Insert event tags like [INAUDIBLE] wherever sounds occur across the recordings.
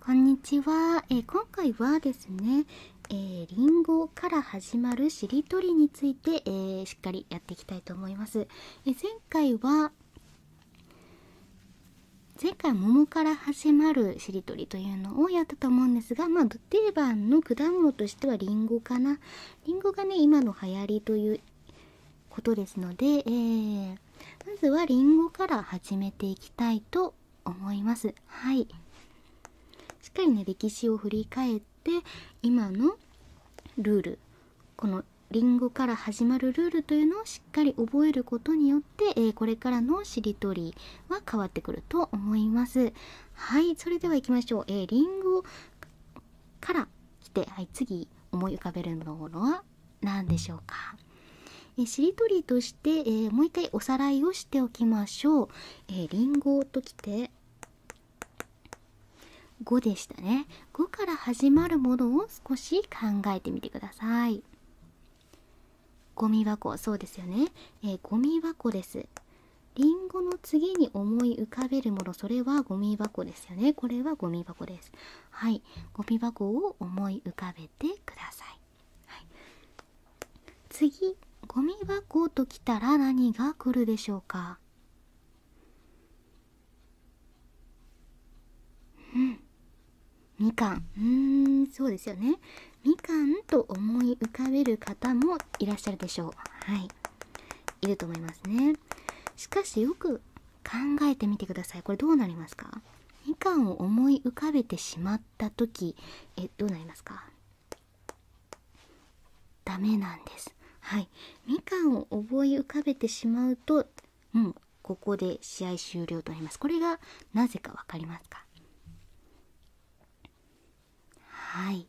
こんにちは、今回はですね、リンゴから始まるしりとりについて、しっかりやっていきたいと思います。前回は前回桃から始まるしりとりというのをやったと思うんですが、まあ、定番の果物としてはりんごかな。りんごがね、今の流行りということですので、まずはりんごから始めていきたいと思いますはいしっかりね歴史を振り返って今のルールこのりんごから始まるルールというのをしっかり覚えることによって、えこれからのしりとりは変わってくると思いますはいそれでは行きましょうえー、リンから来てはい次思い浮かべるものは何でしょうかえしりとりとして、えもう一回おさらいをしておきましょう。えー、リンゴときて5でしたね。5から始まるものを少し考えてみてください。ゴミ箱、そうですよね。えゴミ箱です。リンゴの次に思い浮かべるもの、それはゴミ箱ですよね。これはゴミ箱です。はい。ゴミ箱を思いてください、次ゴミ箱ときたら何が来るでしょうかうんみかんんそうですよねみかんと思い浮かべる方もいらっしゃるでしょうはいいると思いますねしかしよく考えてみてくださいこれどうなりますかみかんを思い浮かべてしまった時えどうなりますかダメなんですはいみかんを思い浮かべてしまうとうんここで試合終了となりますこれがなぜか分かりますかはい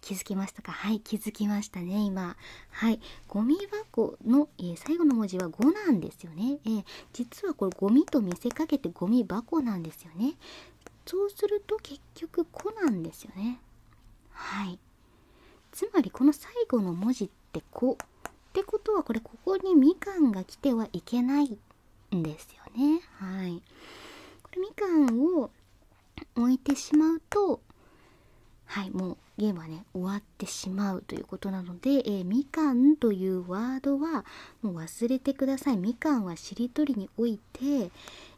気づきましたかはい気づきましたね今はいゴミ箱の、え最後の文字は5なんですですよね。えー、実はこれゴミと見せかけてゴミ箱なんですよね。そうすると結局「子」なんですよね。はい。つまりこの最後の文字って「子」ってことはこれここにみかんが来てはいけないんですよね。はい。これみかんを置いてしまうとはいもうゲームはね終わってしまうということなので、えみかんというワードはもう忘れてくださいみかんはしりとりにおいて、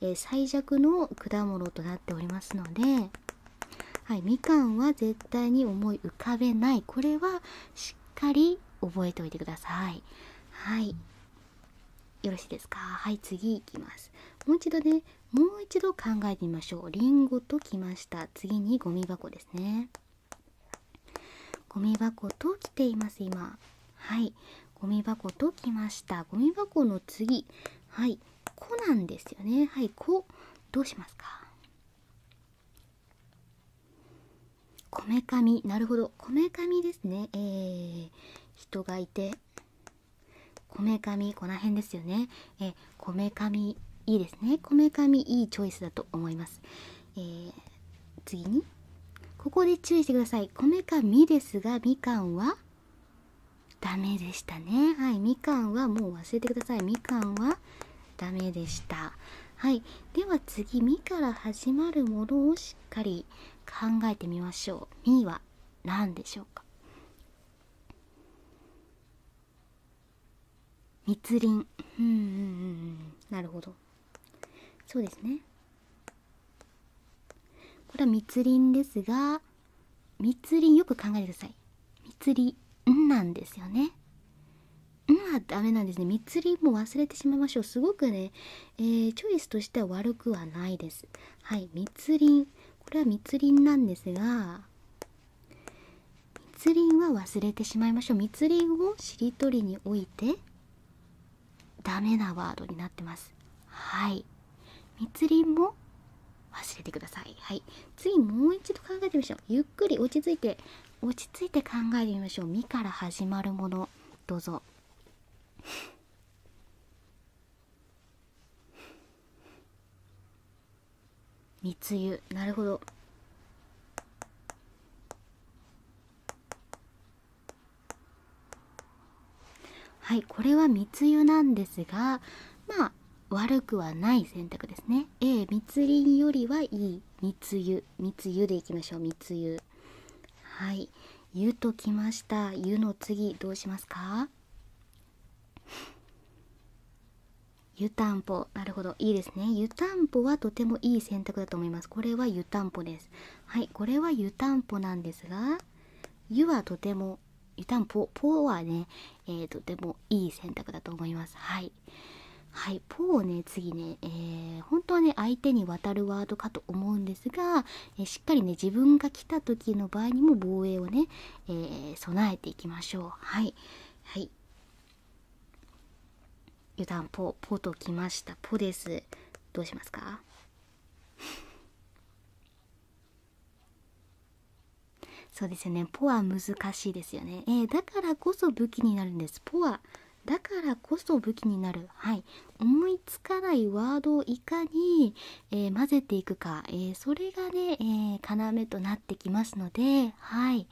え最弱の果物となっておりますので、はい、みかんは絶対に思い浮かべないこれはしっかり覚えておいてくださいはいよろしいですかはい次いきますもう一度ねもう一度考えてみましょうりんごときました次にゴミ箱ですねゴミ箱と来ています今はいゴミ箱と来ましたゴミ箱の次はい「こ」なんですよねはい「こ」どうしますかこめかみなるほどこめかみですねえー、人がいてこめかみこの辺ですよねえこめかみいいですねこめかみいいチョイスだと思いますえ次にここで注意してください米かみですがみかんはダメでしたねはいみかんはもう忘れてくださいみかんはダメでしたはいでは次「み」から始まるものをしっかり考えてみましょう「み」は何でしょうか密林うんうんなるほどそうですねこれは密林ですが密林よく考えてください密林んなんですよねんはダメなんですね密林も忘れてしまいましょうすごくね、えチョイスとしては悪くはないですはい密林これは密林なんですが密林は忘れてしまいましょう密林をしりとりにおいてダメなワードになってますはい密林も忘れてくださいはい次もう一度考えてみましょうゆっくり落ち着いて落ち着いて考えてみましょう「み」から始まるものどうぞ「密輸なるほどはいこれは密輸なんですがまあ悪くはない選択ですね A 密林よりはいい密輸密輸でいきましょう密輸はい湯ときました湯の次どうしますか湯たんぽなるほどいいですね湯たんぽはとてもいい選択だと思いますこれは湯たんぽですはいこれは湯たんぽなんですが湯はとても湯たんぽポはね、えとてもいい選択だと思いますはいはいポをね次ね、え本当はね相手に渡るワードかと思うんですが、えしっかりね自分が来た時の場合にも防衛をね、え備えていきましょうはいはい油断ポポときましたポですどうしますか [LAUGHS] そうですよねポは難しいですよねえだからこそ武器になるんですポはだからこそ武器になるはい思いつかないワードをいかに、え混ぜていくか、えそれがね、え要となってきますのではい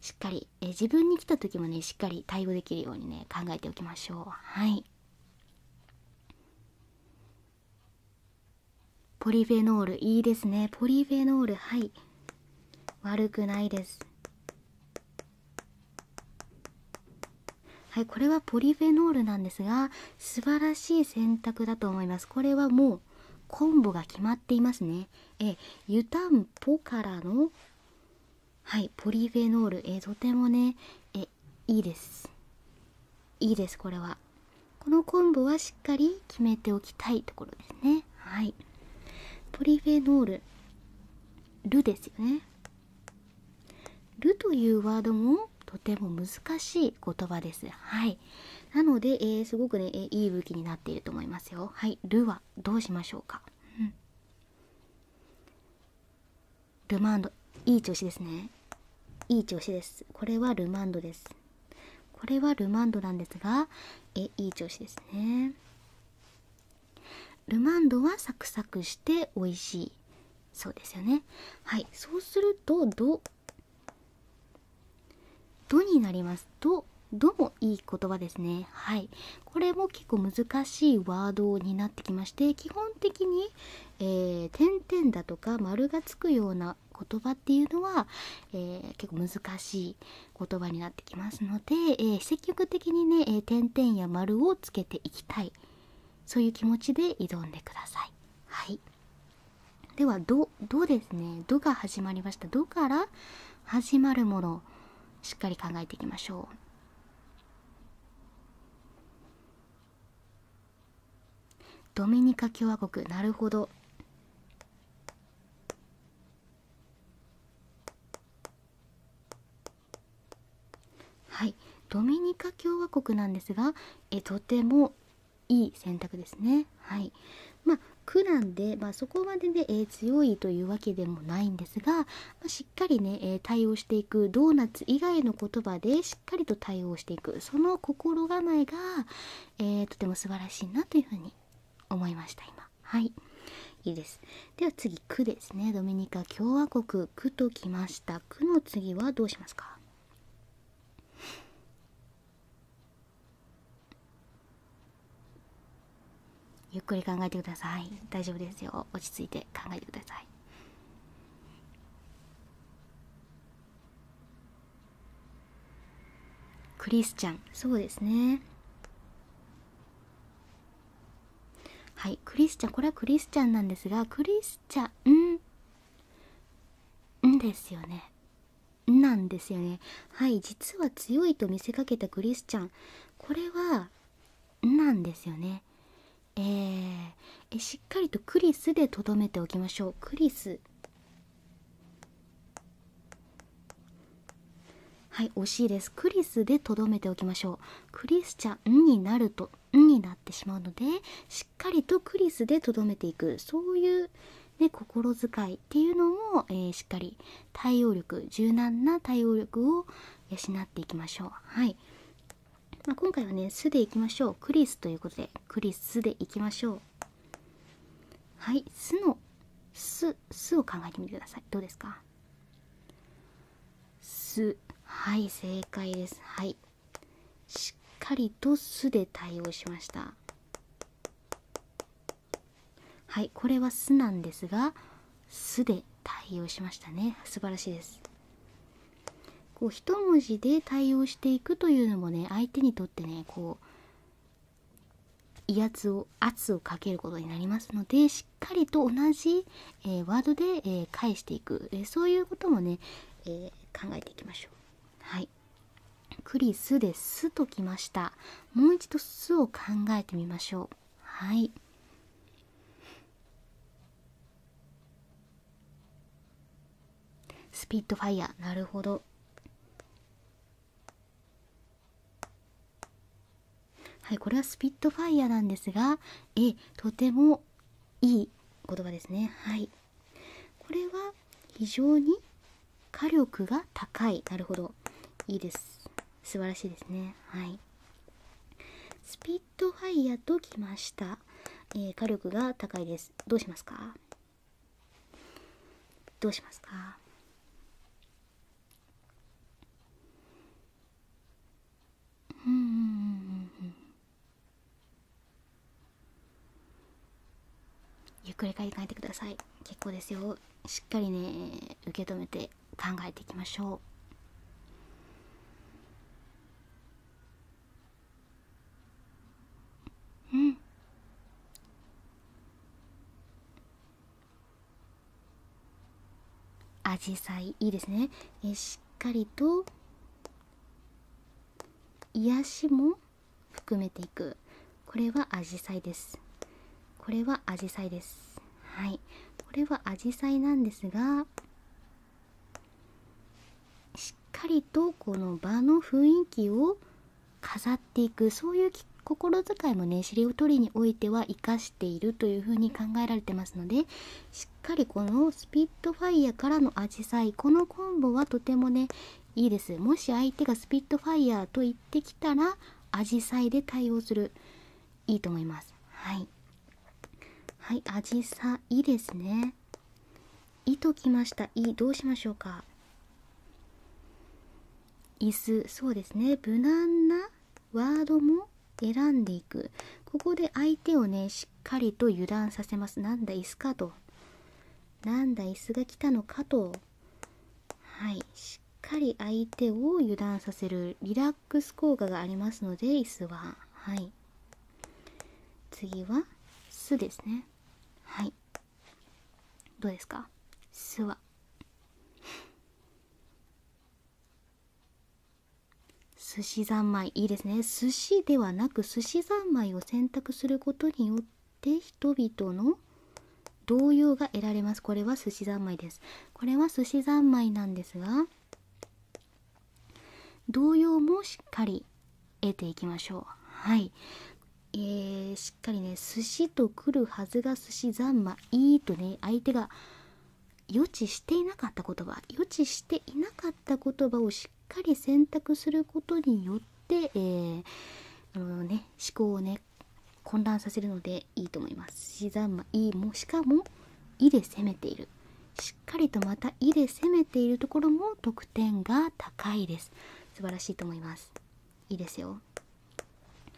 しっかりえ自分に来た時もねしっかり対応できるようにね考えておきましょうはいポリフェノールいいですねポリフェノールはい悪くないですはいこれはポリフェノールなんですが素晴らしい選択だと思いますこれはもうコンボが決まっていますねえ湯たんぽからのはいポリフェノールえとてもねえいいですいいですこれはこの昆布はしっかり決めておきたいところですねはいポリフェノールるですよねるというワードもとても難しい言葉ですはいなので、えー、すごくね、えー、いい武器になっていると思いますよはいるはどうしましょうか、うん、ルマンドいい調子ですねいい調子ですこれはルマンドですこれはルマンドなんですがえいい調子ですねルマンドはサクサクして美味しいそうですよねはいそうするとどドになります。ド、ドもいい言葉ですね。はい。これも結構難しいワードになってきまして、基本的に、え点々だとか丸がつくような言葉っていうのは、え結構難しい言葉になってきますので、え積極的にね、え点々や丸をつけていきたいそういう気持ちで挑んでください。はい、では「ど」「ど」ですね「ど」が始まりました「ど」から「始まるものしっかり考えていきましょうドミニカ共和国なるほどはいドミニカ共和国なんですがとてもいい選択ですねはいま苦なんで、そこまで強いというわけでもないんですが、しっかり対応していくドーナツ以外の言葉でしっかりと対応していくその心構えが、とても素晴らしいなというふうに思いました今いいですでは次「区ですねドミニカ共和国「区ときました「区の次はどうしますかゆっくり考えてください大丈夫ですよ落ち着いて考えてくださいクリスチャンそうですねはいクリスチャンこれはクリスチャンなんですがクリスチャンんですよねなんですよねはい実は強いと見せかけたクリスチャンこれは「なんですよね。ええしっかりとクリスでとどめておきましょうクリスはい惜しいですクリスでとどめておきましょうクリスチャンになると「になってしまうのでしっかりとクリスでとどめていくそういう、ね、心遣いっていうのも、えしっかり対応力柔軟な対応力を養っていきましょう。はいま今回はね「す」でいきましょう「クリス」ということで「クリス」でいきましょう。はい「す」の「す」「す」を考えてみてくださいどうですか?「す」はい正解です。はいしっかりと「す」で対応しました。はいこれは「す」なんですが「す」で対応しましたね素晴らしいですこう一文字で対応していくというのもね相手にとってねこう威圧を圧をかけることになりますのでしっかりと同じ、えワードで、え返していく、えそういうこともね、え考えていきましょうはいクリスで「す」ときましたもう一度「す」を考えてみましょうはいスピットファイヤーなるほどはいこれはスピットファイヤーなんですがえとてもいい言葉ですねはいこれは非常に火力が高いなるほどいいです素晴らしいですねはいスピットファイヤときました、えー、火力が高いですどうしますかどうしますかゆっくり書いてください結構ですよしっかりね受け止めて考えていきましょう。うん、アジサいいですねえしっかりと癒しも含めていくこれはアジサイですこれはアジサイですはいこれはアジサなんですがしっかりとこの場の雰囲気を飾っていくそういう心遣いもね尻を取りにおいては生かしているというふうに考えられてますのでしっかりこのスピットファイアからのアジサイこのコンボはとてもねいいですもし相手がスピットファイアと言ってきたらアジサイで対応するいいと思いますはいはいアジサですね「い」ときました「い」どうしましょうか椅子そうですね無難なワードも選んでいくここで相手をねしっかりと油断させますなんだ椅子かとなんだ椅子が来たのかとはいかり相手を油断させるリラックス効果がありますので椅子ははい次は「す」ですねはいどうですか「す」は寿司三昧いいですね寿司ではなく寿司三昧を選択することによって人々の同様が得られますこれは寿司三昧ですこれは寿司三昧なんですが同様もしっかり得ていきましょうはいえー、しっかりね寿司と来るはずが寿司三昧いいとね相手が予知していなかった言葉予知していなかった言葉をしっかり選択することによって、えあのね、思考をね混乱させるのでいいと思います。しざまいもしかも「い」で攻めている。しっかりとまた「い」で攻めているところも得点が高いです。素晴らしいと思います。いいですよ。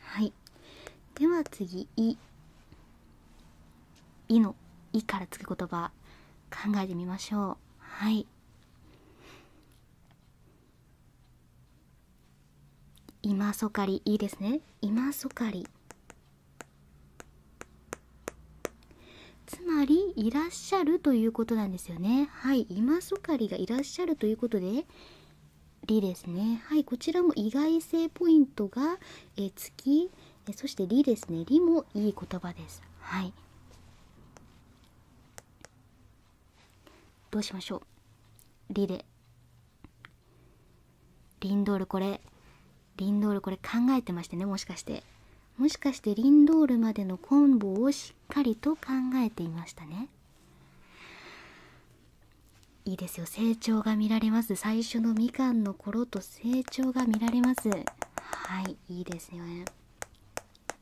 はい。では次「い」。「い」の「い」からつく言葉考えてみましょう。はい。今そかりいいですね今そかりつまりいらっしゃるということなんですよねはい今そかりがいらっしゃるということでりですねはいこちらも意外性ポイントがえつきえそしてりですねりもいい言葉ですはいどうしましょうりでリンドールこれリンドールこれ考えてましてねもしかしてもしかしてリンドールまでのコンボをしっかりと考えていましたねいいですよ成長が見られます最初のみかんの頃と成長が見られますはいいいですよね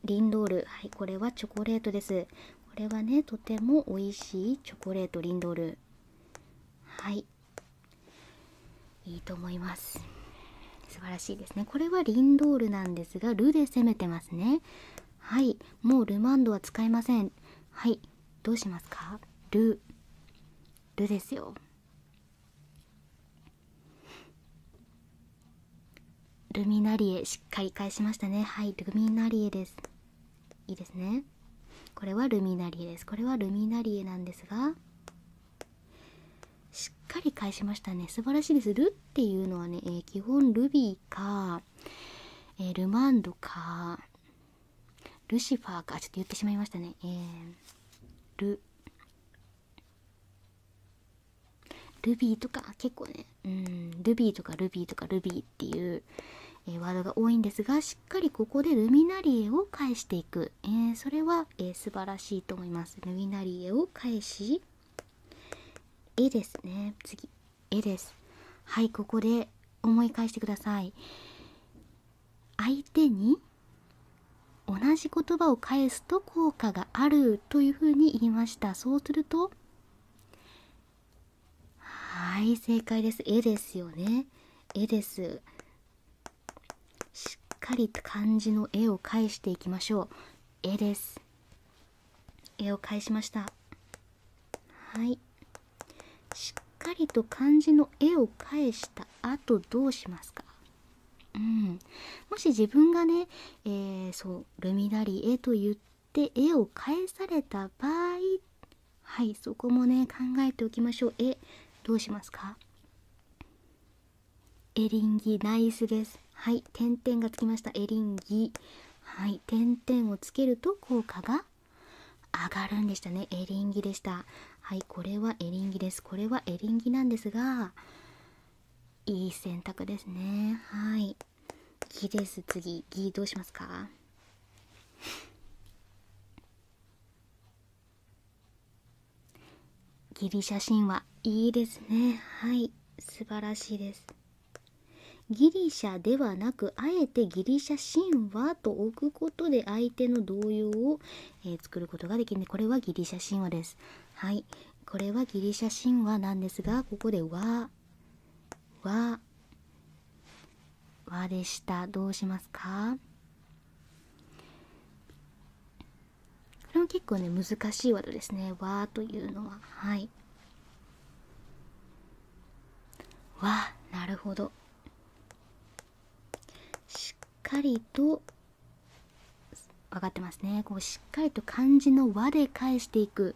リンドールはいこれはチョコレートですこれはねとても美味しいチョコレートリンドールはいいいと思います素晴らしいですねこれはリンドールなんですがルで攻めてますねはいもうルマンドは使いませんはいどうしますかルルですよルミナリエしっかり返しましたねはいルミナリエですいいですねこれはルミナリエですこれはルミナリエなんですがしっかり返しましたね素晴らしいですルっていうのはね、基本ルビーか、ルマンドかルシファーかちょっと言ってしまいましたねルルビーとか結構ねルビーとかルビーとかルビーっていう、えワードが多いんですがしっかりここでルミナリを返していく、えそれは、え素晴らしいと思いますルミナリエを返し絵ですね次絵ですはいここで思い返してください相手に同じ言葉を返すと効果があるというふうに言いましたそうするとはい正解です絵ですよね絵ですしっかりと漢字の絵を返していきましょう絵です絵を返しましたはいしっかりと漢字の絵を返した後どうしますかうん、もし自分がね、えそう「ルミナリエ」と言って絵を返された場合はいそこもね考えておきましょうえどうしますかエリンギナイスですはい点々がつきましたエリンギはい点々をつけると効果が上がるんでしたねエリンギでしたはいこれはエリンギですこれはエリンギなんですがいい選択ですねはいギです次ギどうしますかギリシャ神話いいですねはい素晴らしいですギリシャではなくあえてギリシャ神話と置くことで相手の動揺を、え作ることができるでこれはギリシャ神話ですはいこれはギリシャ神話なんですがここではは和でしたどうしますかこれも結構ね難しいワーですね和というのははいわなるほどしっかりと分かってますねこうしっかりと漢字の和で返していく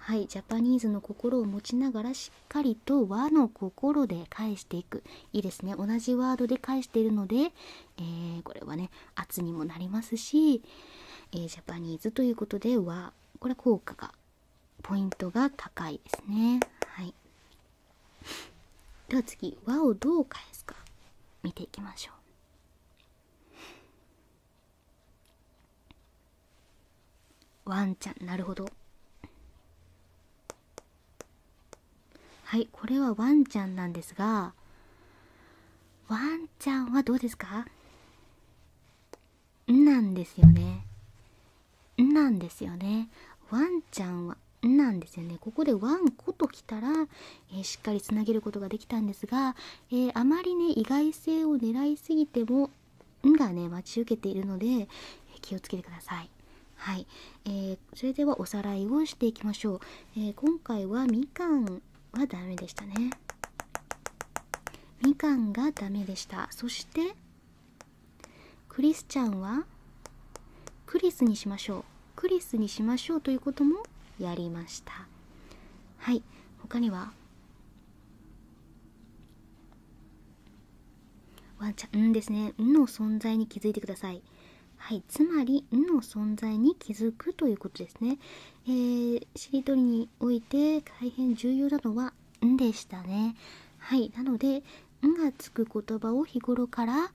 はいジャパニーズの心を持ちながらしっ。かりと和の心で返していくいいですね同じワードで返しているので、えこれはね圧にもなりますし、えジャパニーズということで和これ効果がポイントが高いですねはいでは次和をどう返すか見ていきましょうワンちゃんなるほどはいこれはワンちゃんなんですがワンちゃんはどうですかんなんですよねんなんですよねワンちゃんはんなんですよねここでワンコときたら、えしっかりつなげることができたんですが、えあまりね意外性を狙いすぎてもがね待ち受けているので気をつけてください。はい、えそれではおさらいをしていきましょう。え今回はみかんはダメでしたね。みかんがダメでした。そしてクリスちゃんはクリスにしましょう。クリスにしましょうということもやりました。はい、他にはワンちゃん、んですね。んの存在に気づいてください。はい。つまり、んの存在に気づくということですね。えしりとりにおいて大変重要なのは、んでしたね。はい。なので、んがつく言葉を日頃から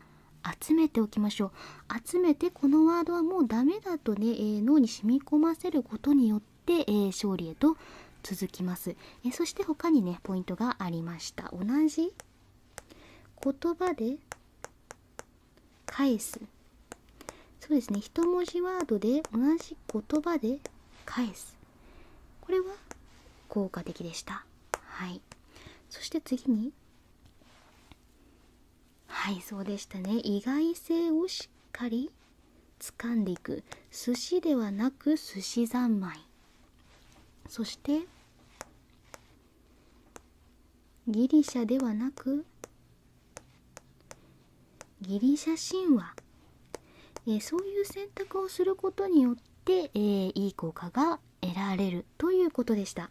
集めておきましょう。集めて、このワードはもうダメだとね、え脳に染み込ませることによって、え勝利へと続きますえそして他にねポイントがありました同じ言葉で返すそうですね1文字ワードで同じ言葉で返すこれは効果的でしたはいそして次にはいそうでしたね意外性をしっかりつかんでいく寿司ではなく寿司三昧そしてギリシャではなくギリシャ神話、えそういう選択をすることによって、えいい効果が得られるということでした。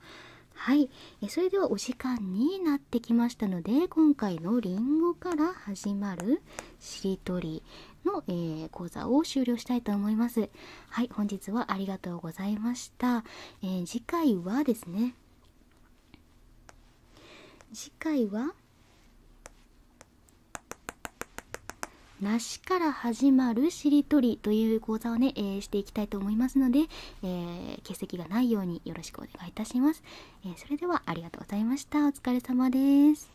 はい、えそれではお時間になってきましたので今回のりんごから始まるしりとり、の、え講座を終了したいと思いますはい本日はありがとうございました、え次回はですね次回は梨から始まるしりとりという講座をね、えしていきたいと思いますので、え欠席がないようによろしくお願いいたします、えそれではありがとうございましたお疲れ様です